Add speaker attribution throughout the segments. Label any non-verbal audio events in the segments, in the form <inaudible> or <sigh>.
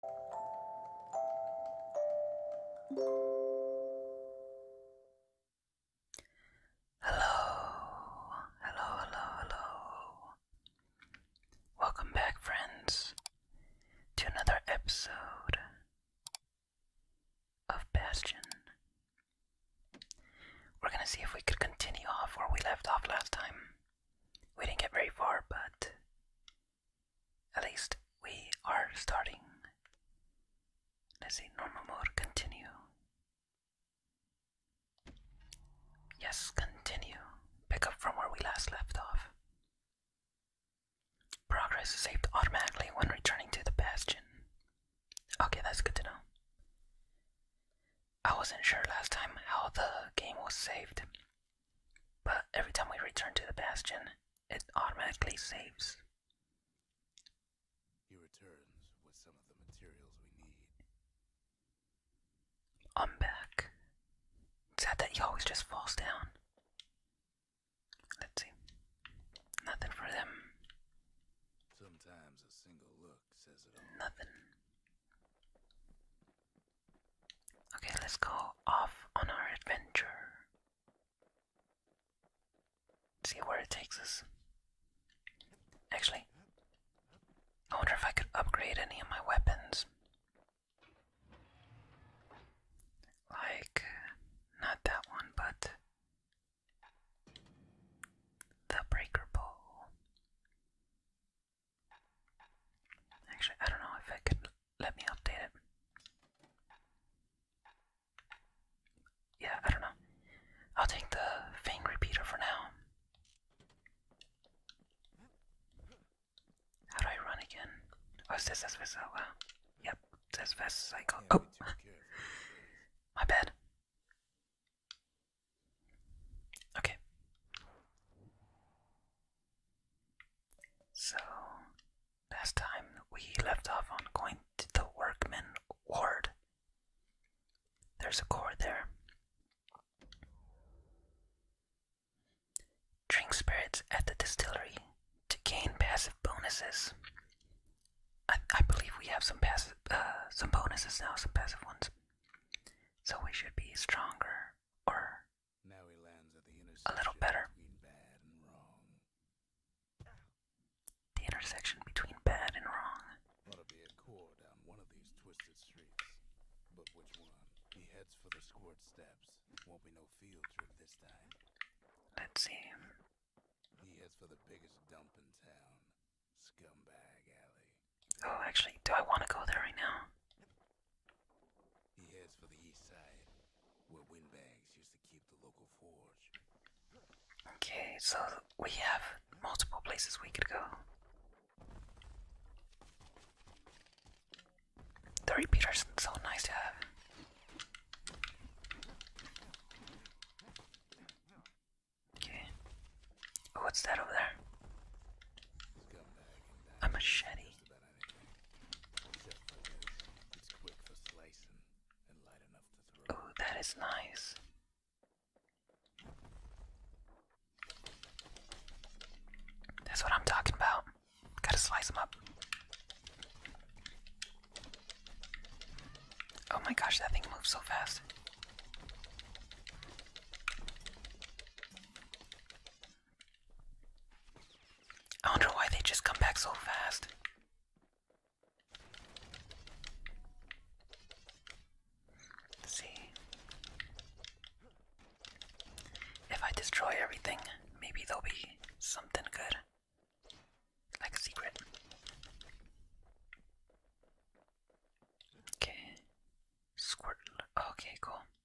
Speaker 1: Hello, hello, hello, hello. Welcome back, friends, to another episode of Bastion. We're gonna see if we could continue off where we left off last time. We didn't get very far, but at least we are starting. Let's see, normal mode, continue. Yes, continue. Pick up from where we last left off. Progress saved automatically when returning to the bastion. Okay, that's good to know. I wasn't sure last time how the game was saved. But every time we return to the bastion, it automatically
Speaker 2: saves. He returns with some of the materials we need. I'm back. Sad
Speaker 1: that he always just falls down. Let's see. Nothing for
Speaker 2: them. Sometimes a single look says it all. Nothing.
Speaker 1: Okay, let's go off on our adventure. See where it takes us. Actually, I wonder if I could upgrade any of my weapons. Like, not that one, but the breaker bow. Actually, I don't know if I can let me update it. Yeah, I don't know. I'll take the Fang Repeater for now. How do I run again? Oh, it says fast oh, Yep, says fast cycle. oh! My bad. Okay. So, last time we left off on going to the workman ward. There's a cord there. Drink spirits at the distillery to gain passive bonuses. I, I believe we have some passive,
Speaker 2: uh, some bonuses now, some passive ones. So we should be stronger or a little better.
Speaker 1: The intersection between bad and wrong. Ought to be a core down one of these twisted streets.
Speaker 2: But which one? He heads for the squirt steps. Won't be no field trip this time. Let's see. He heads for the biggest dump in town. Scumbag alley. Oh, actually, do I want to go there right now? He heads
Speaker 1: for the east side, where windbags used to keep the local forge. Okay, so we have multiple places we could go. The repeater's so nice to have. Okay. What's that over there? A machete. Ooh, that is nice. That's what I'm talking about. Gotta slice them up. Oh my gosh, that thing moves so fast. I wonder why they just come back so fast. see. If I destroy everything, maybe there'll be something good.
Speaker 2: Like a secret. Okay. Squirt. Okay, cool.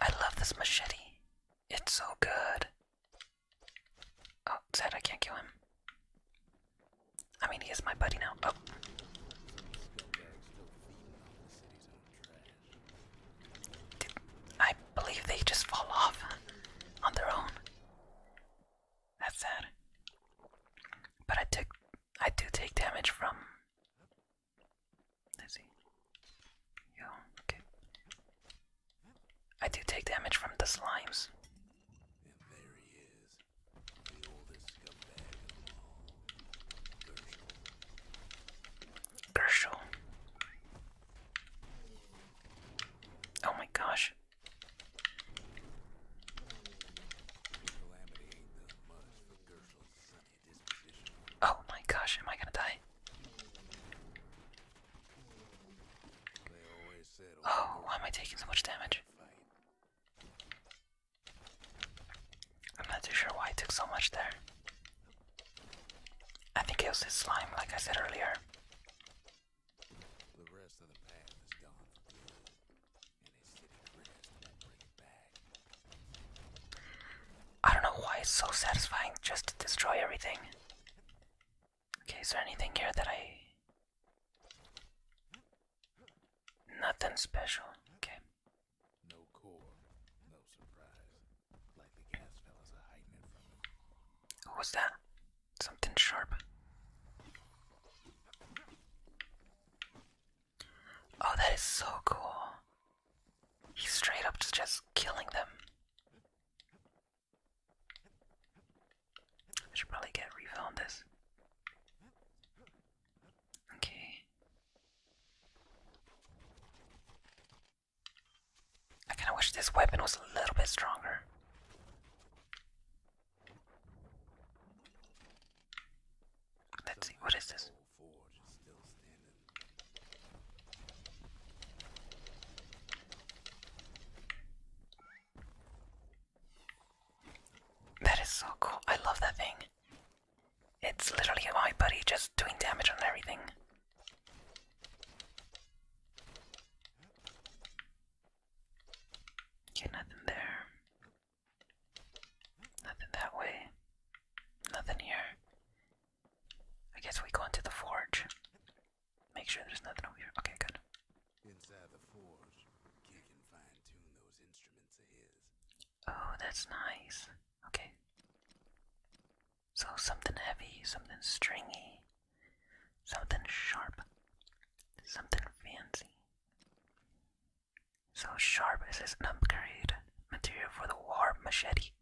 Speaker 1: I love this machete. It's so good. Oh, sad I can't kill him. I mean, he is my buddy now. Oh. I believe they just fall off on their own. That's sad. But I took I do take damage from Let's okay. I do take damage from the slimes. And Oh my gosh. Oh my gosh, am I gonna die? Oh, why am I taking so much damage? I'm not too sure why I took so much there. I think it was his slime, like I said earlier. I don't know why it's so satisfying just to destroy everything. Okay, is there anything here that I. Nothing special. Okay. No What was that? Something sharp. Oh, that is so cool. He's straight up just killing them. I should probably get a this. Okay. I kinda wish this weapon was a little bit stronger.
Speaker 2: Let's see, what is this?
Speaker 1: That is so cool. I love that thing. It's literally my buddy just doing damage on everything. Get nothing there.
Speaker 2: Nothing that way. Nothing here. I guess we go into the forge. Make sure there's nothing over here. Okay, good. Inside the forge, Oh, that's
Speaker 1: nice. Okay. So something heavy, something stringy, something sharp, something fancy. So sharp is his uncarried material for the war machete.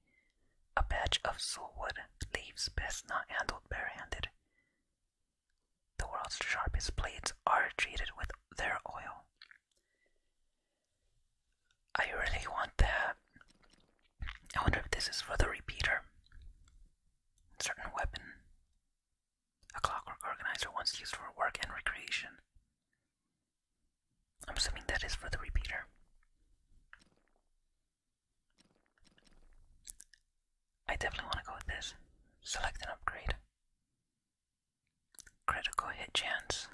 Speaker 1: A patch of soulwood leaves best not handled barehanded. The world's sharpest blades are treated with their oil. I really want that. I wonder if this is for the repeater. Certain weapon a clockwork organizer once used for work and recreation. I'm assuming that is for the repeater. I definitely want to go with this. Select an upgrade. Critical hit chance.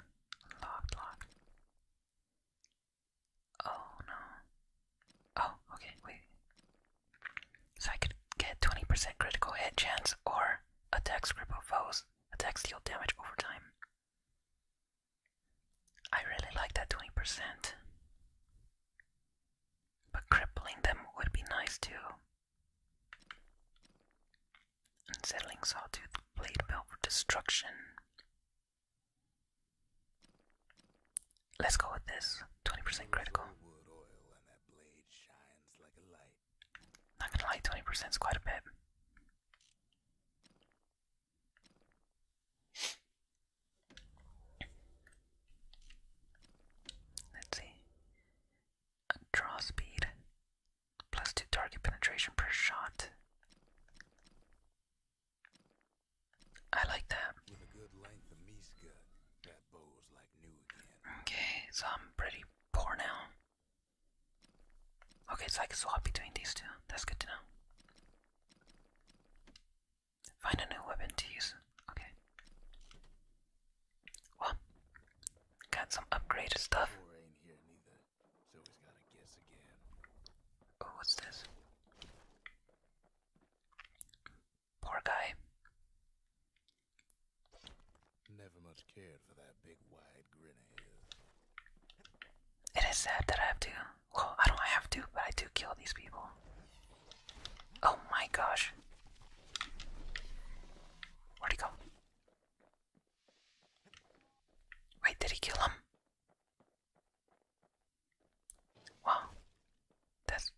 Speaker 1: Locked, locked. Oh no. Oh, okay, wait. So I could get 20% critical hit chance or attacks cripple foes, attacks deal damage over time. I really like that 20%. But crippling them would be nice too. Unsettling Sawtooth Blade Belt for destruction. Let's go with this. 20% critical. Not gonna lie, twenty percent is quite a bit. Let's see. draw speed. Plus two target penetration per shot. I like that. Okay, so I'm pretty poor now. Okay, so I can swap between these two. That's good to know. Find a new weapon to use. Okay.
Speaker 2: Well, got some upgraded stuff. Oh, what's this? Poor guy. Never much cared for that big wide grin of his.
Speaker 1: It is sad that I have to.
Speaker 2: Well, I don't have to, but I do kill these people. Oh
Speaker 1: my gosh. Where'd he go? Wait, did he kill him? Wow. That's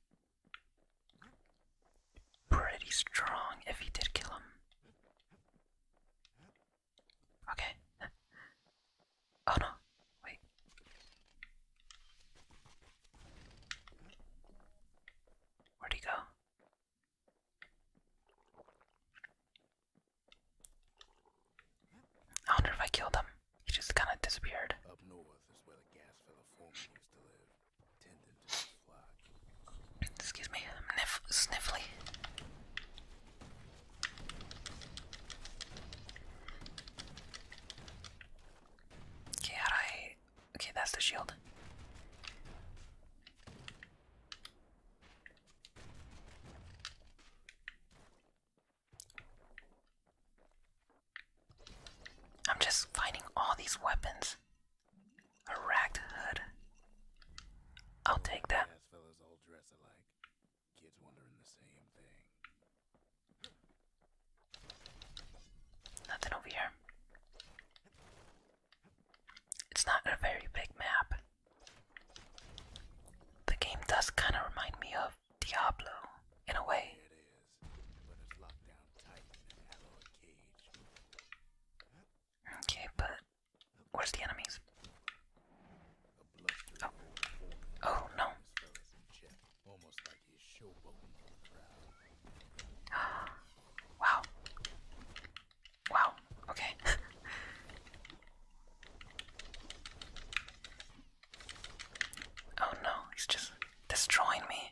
Speaker 1: pretty strong if he did kill him. Okay. <laughs> oh no, wait. Where'd he go?
Speaker 2: I wonder if I killed him. He just kind of disappeared. Excuse me, I'm nif sniffly.
Speaker 1: Okay, how do I. Okay, that's the shield. I'm just finding all these weapons.
Speaker 2: A ragged hood. I'll take that. Fellas all dress alike. Kids wondering the same thing.
Speaker 1: Nothing over here. It's not a very big map. The game does kind of remind me of Diablo in a way. Okay, but where's the enemies? Oh, oh, no. Almost <gasps> Wow. Wow. Okay. <laughs> oh no, he's just destroying me.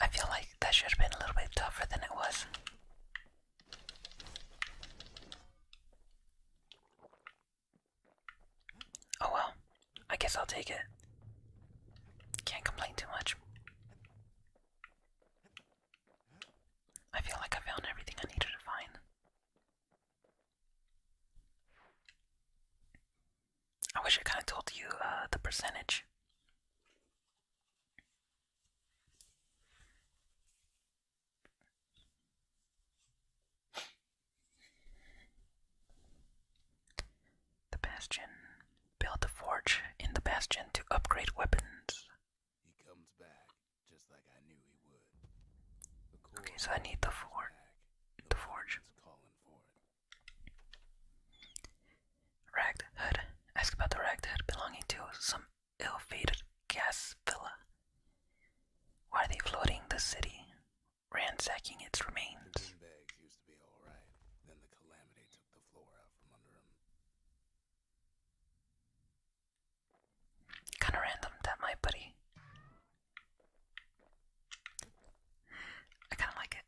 Speaker 2: I feel like that should have been a little bit tougher than it was.
Speaker 1: Oh well, I guess I'll take it. Can't complain too much. I feel like I found everything I needed to find. I wish I kind of told you uh, the percentage. The Bastion. Build a forge in the Bastion to upgrade weapons. Okay, so I need the forge. The forge. Ragged Hood. Ask about the ragged hood belonging to some ill-fated gas villa. Why are they floating the city, ransacking its remains? Kind of random that my buddy I kind of like it.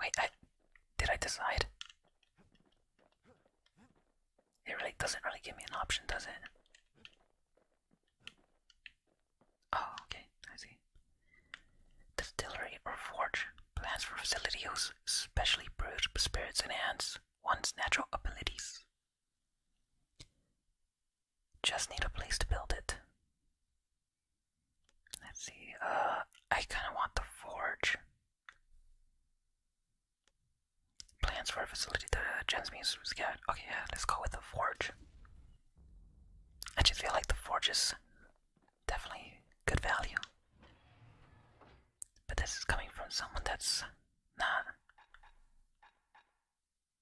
Speaker 1: Wait, I did I decide? It
Speaker 2: really doesn't really give
Speaker 1: me an option, does it? Oh, okay, I see. Distillery or forge. Plans for facility use, specially brewed spirits and hands one's natural abilities. Just need a place to build it. Let's see, uh, I kind of want the forge. Plans for a facility that Jen's Muse was got. Okay, yeah, let's go with the forge. I just feel like the forge is definitely good value. But this is coming from someone that's not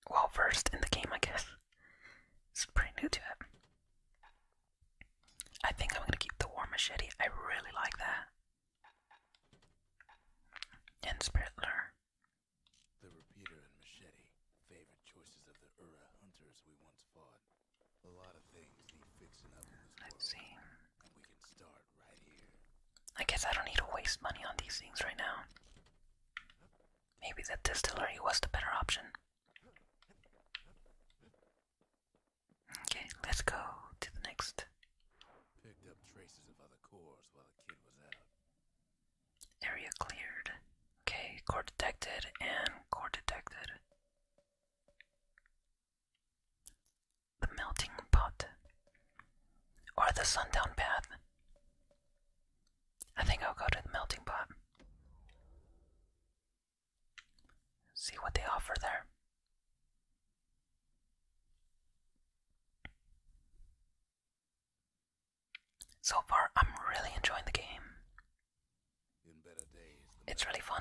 Speaker 1: well versed in the game, I guess. It's pretty new to it. I think I'm gonna keep the war machete. I really like that. And spirit The repeater and machete, favorite choices of the Ura hunters we once fought. A lot of I guess I don't need to waste money on these things right now. Maybe the distillery was the better option. Okay, let's go to the next. Area cleared. Okay, core detected and core detected the melting pot or the sundown Path. I think I'll go to the melting pot. See what they offer there. So far, I'm really enjoying the game. It's really fun.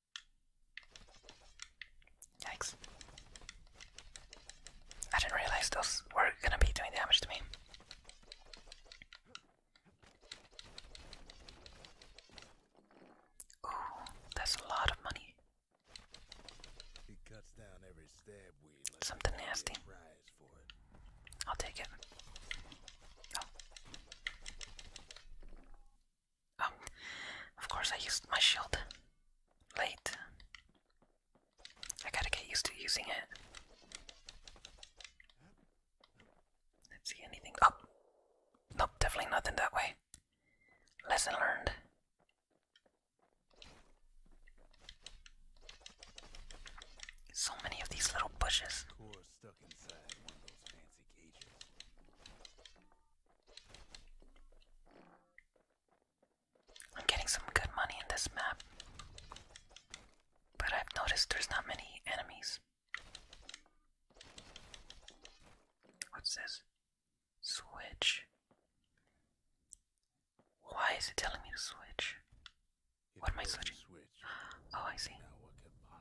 Speaker 1: Yikes. I didn't realize those were gonna be doing damage to me. Ooh, that's a lot of money.
Speaker 2: Something nasty.
Speaker 1: I'll take it. Oh. Um, of course I used my shield late. I gotta get used to using it. see anything. Oh! Nope, definitely nothing that way. Lesson learned.
Speaker 2: So many of these little bushes.
Speaker 1: I'm getting some good money in this map, but I've noticed there's not many enemies. What's this? Switch. Why is it telling
Speaker 2: me to switch? what am I switching? Switch. <gasps> Oh, I see.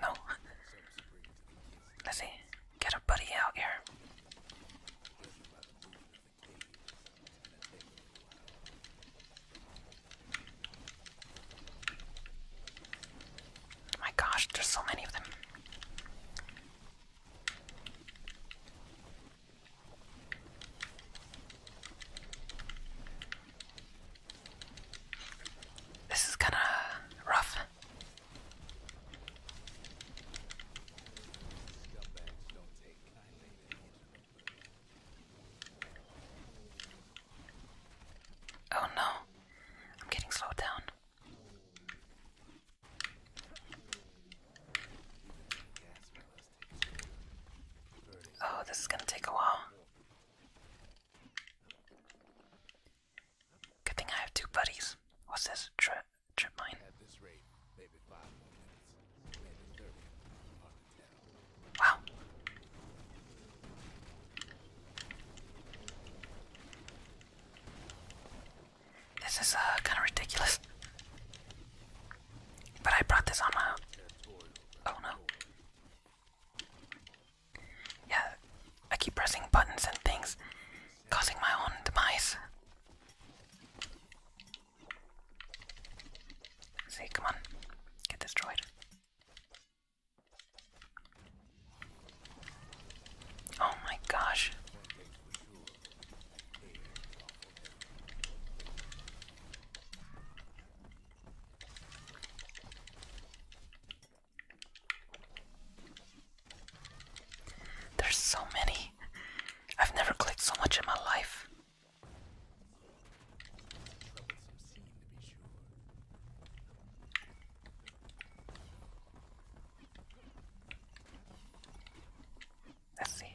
Speaker 1: no. Let's see. Get a buddy out here. Oh my gosh, there's so many of them. This is kinda rough. Oh no, I'm getting slowed down. Oh, this is gonna take a while.
Speaker 2: Good thing I have two buddies. What's this? Trip trip mine. Wow.
Speaker 1: This is uh kinda ridiculous. But I brought this on my own. Oh no. Yeah, I keep pressing buttons and things, causing my own demise. see, come on, get destroyed. Oh my gosh. There's so many. I've never clicked so much in my life. Let's see.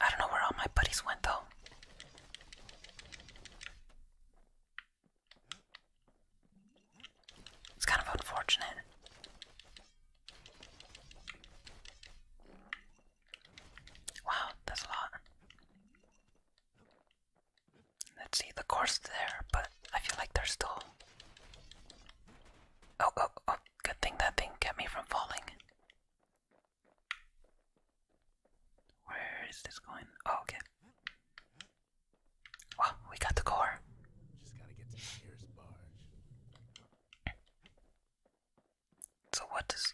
Speaker 1: I don't know where all my buddies went though. It's kind of unfortunate. Wow, that's a lot. Let's see the course there, but I feel like they're still. Oh, oh, oh, good thing that thing kept me from falling. Where is this going? Oh, okay. Well, we got the core.
Speaker 2: Just gotta get to Pierce Barge. So what does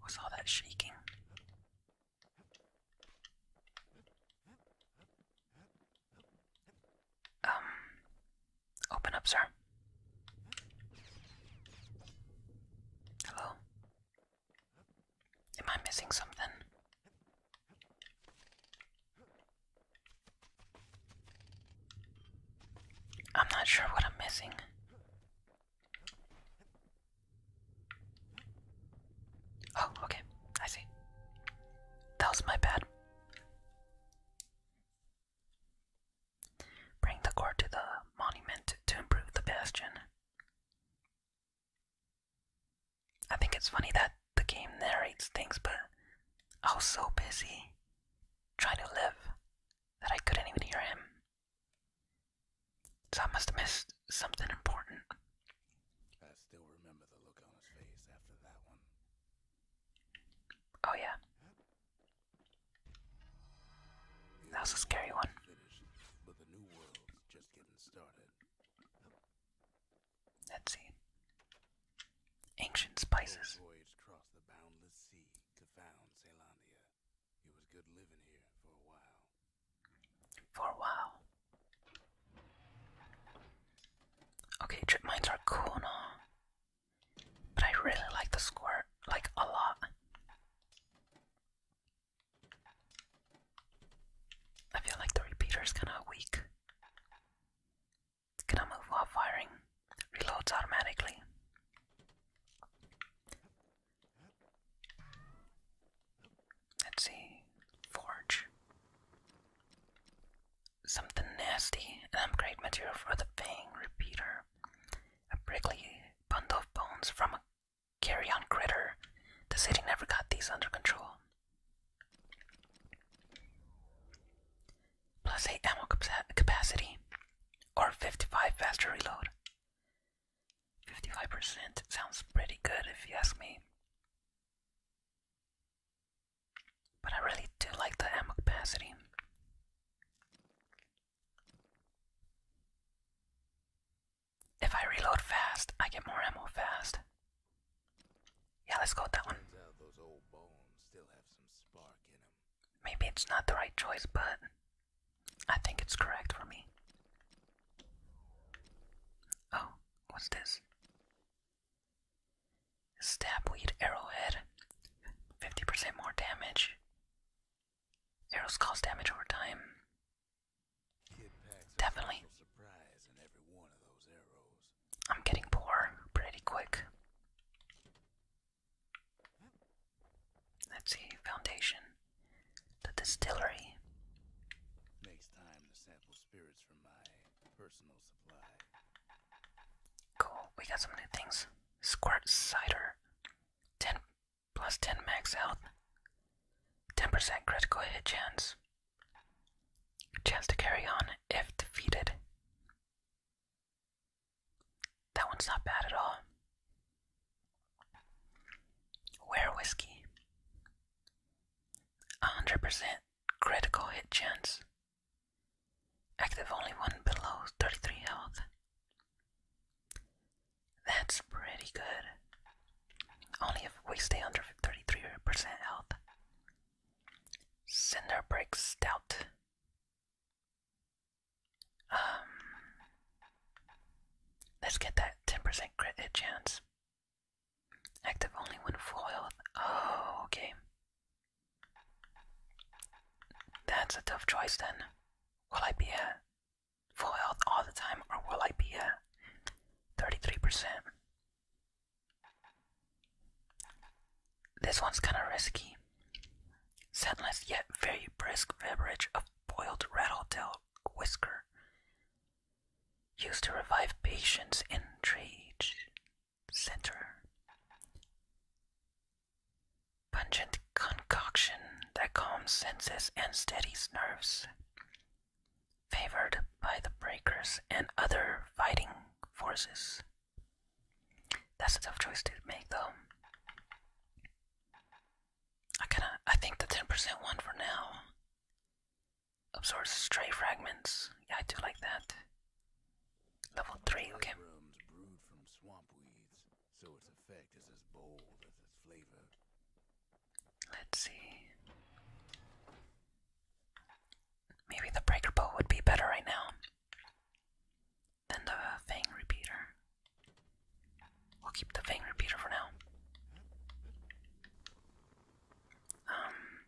Speaker 1: What's all that shaking? Um, open up, sir. Hello? Am I missing something? I'm not sure what I'm missing. Oh, okay. I see. That was my bad. Bring the core to the monument to improve the bastion. I think it's funny that the game narrates things, but I was so busy trying to live that I couldn't even hear him.
Speaker 2: So I must have missed something important. I still remember the look on his face after that one. Oh, yeah. That was a scary one. Let's see. Ancient spices for a while. Okay, trip mines are cool and
Speaker 1: but I really like the squirt, like a lot. I feel like the repeater is kind of weak. It's move while firing. Reloads automatically. Let's see. Forge. Something nasty. An upgrade material for the Fang Repeater. A prickly bundle of bones from a carrion critter. The city never got these under control. Plus Plus, a ammo capacity, or 55 faster reload. 55% sounds pretty good if you ask me. But I really do like the ammo capacity. If I reload fast, I get more ammo fast.
Speaker 2: Yeah, let's go with that one. Maybe it's not the right choice, but I think it's correct for me.
Speaker 1: Oh, what's this? Stabweed arrowhead. 50% more damage. Arrows cause damage over time. Definitely. I'm getting poor pretty quick. Let's see, foundation.
Speaker 2: The distillery.
Speaker 1: Cool, we got some new things. Squirt cider. Ten plus ten max health. Ten percent critical hit chance. Chance to carry on if defeated. That one's not bad at all. Where whiskey. 100% critical hit chance. Active only one below 33 health. That's pretty good. Only if we stay under 33% health. Cinder breaks Stout. Um, let's get that 10% crit chance. Active only when foiled. Oh, okay. That's a tough choice then. Will I be at full health all the time or will I be at 33%? This one's kind of risky. Scentless yet very brisk beverage of boiled rattletail whisker, used to revive patients in trade center. Pungent concoction that calms senses and steadies nerves. Favored by the breakers and other fighting forces. That's a tough choice to make, though. I kinda I think the 10% one for now absorbs stray fragments. Yeah, I do like that.
Speaker 2: Level three, okay. Let's see.
Speaker 1: Maybe the breaker bow would be better right now than the Fang Repeater. We'll keep the Fang Repeater for now. Um,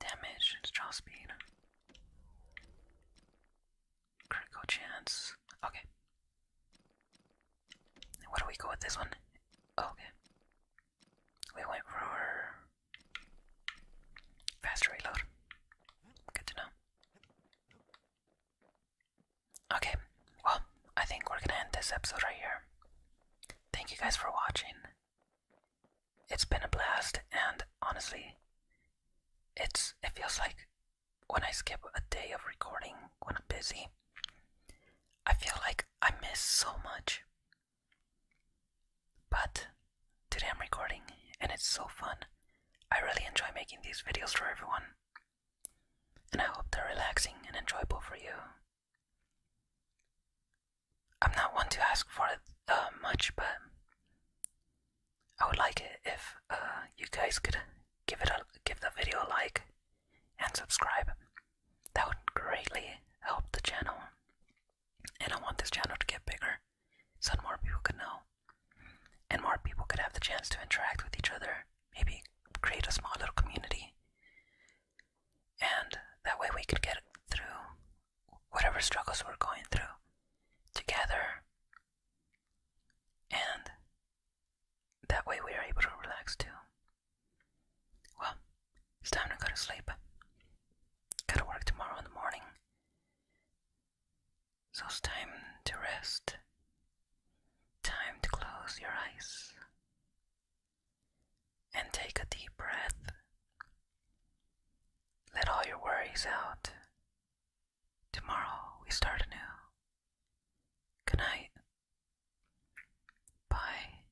Speaker 1: damage and draw speed. Critical chance. Okay. What do we go with this one? okay. We went for faster reload. Good to know. Okay, well, I think we're gonna end this episode right here. Thank you guys for watching. It's been a blast, and honestly, it's it feels like when I skip a day of recording when I'm busy, I feel like I miss so much. But Today I'm recording and it's so fun. I really enjoy making these videos for everyone. And I hope they're relaxing and enjoyable for you. I'm not one to ask for uh, much, but I would like it if uh, you guys could give it give the video a like and subscribe. That would greatly help the channel. And I want this channel to get bigger so more people could know. And more people could have the chance to interact with each other, maybe create a small little community. And that way we could get through whatever struggles we're going through together. And that way we are able to relax too. Well, it's time to go to sleep. Gotta work tomorrow in the morning. So it's time to rest. Time to close your eyes and take a deep breath. Let all your worries out. Tomorrow we start anew. Good night. Bye.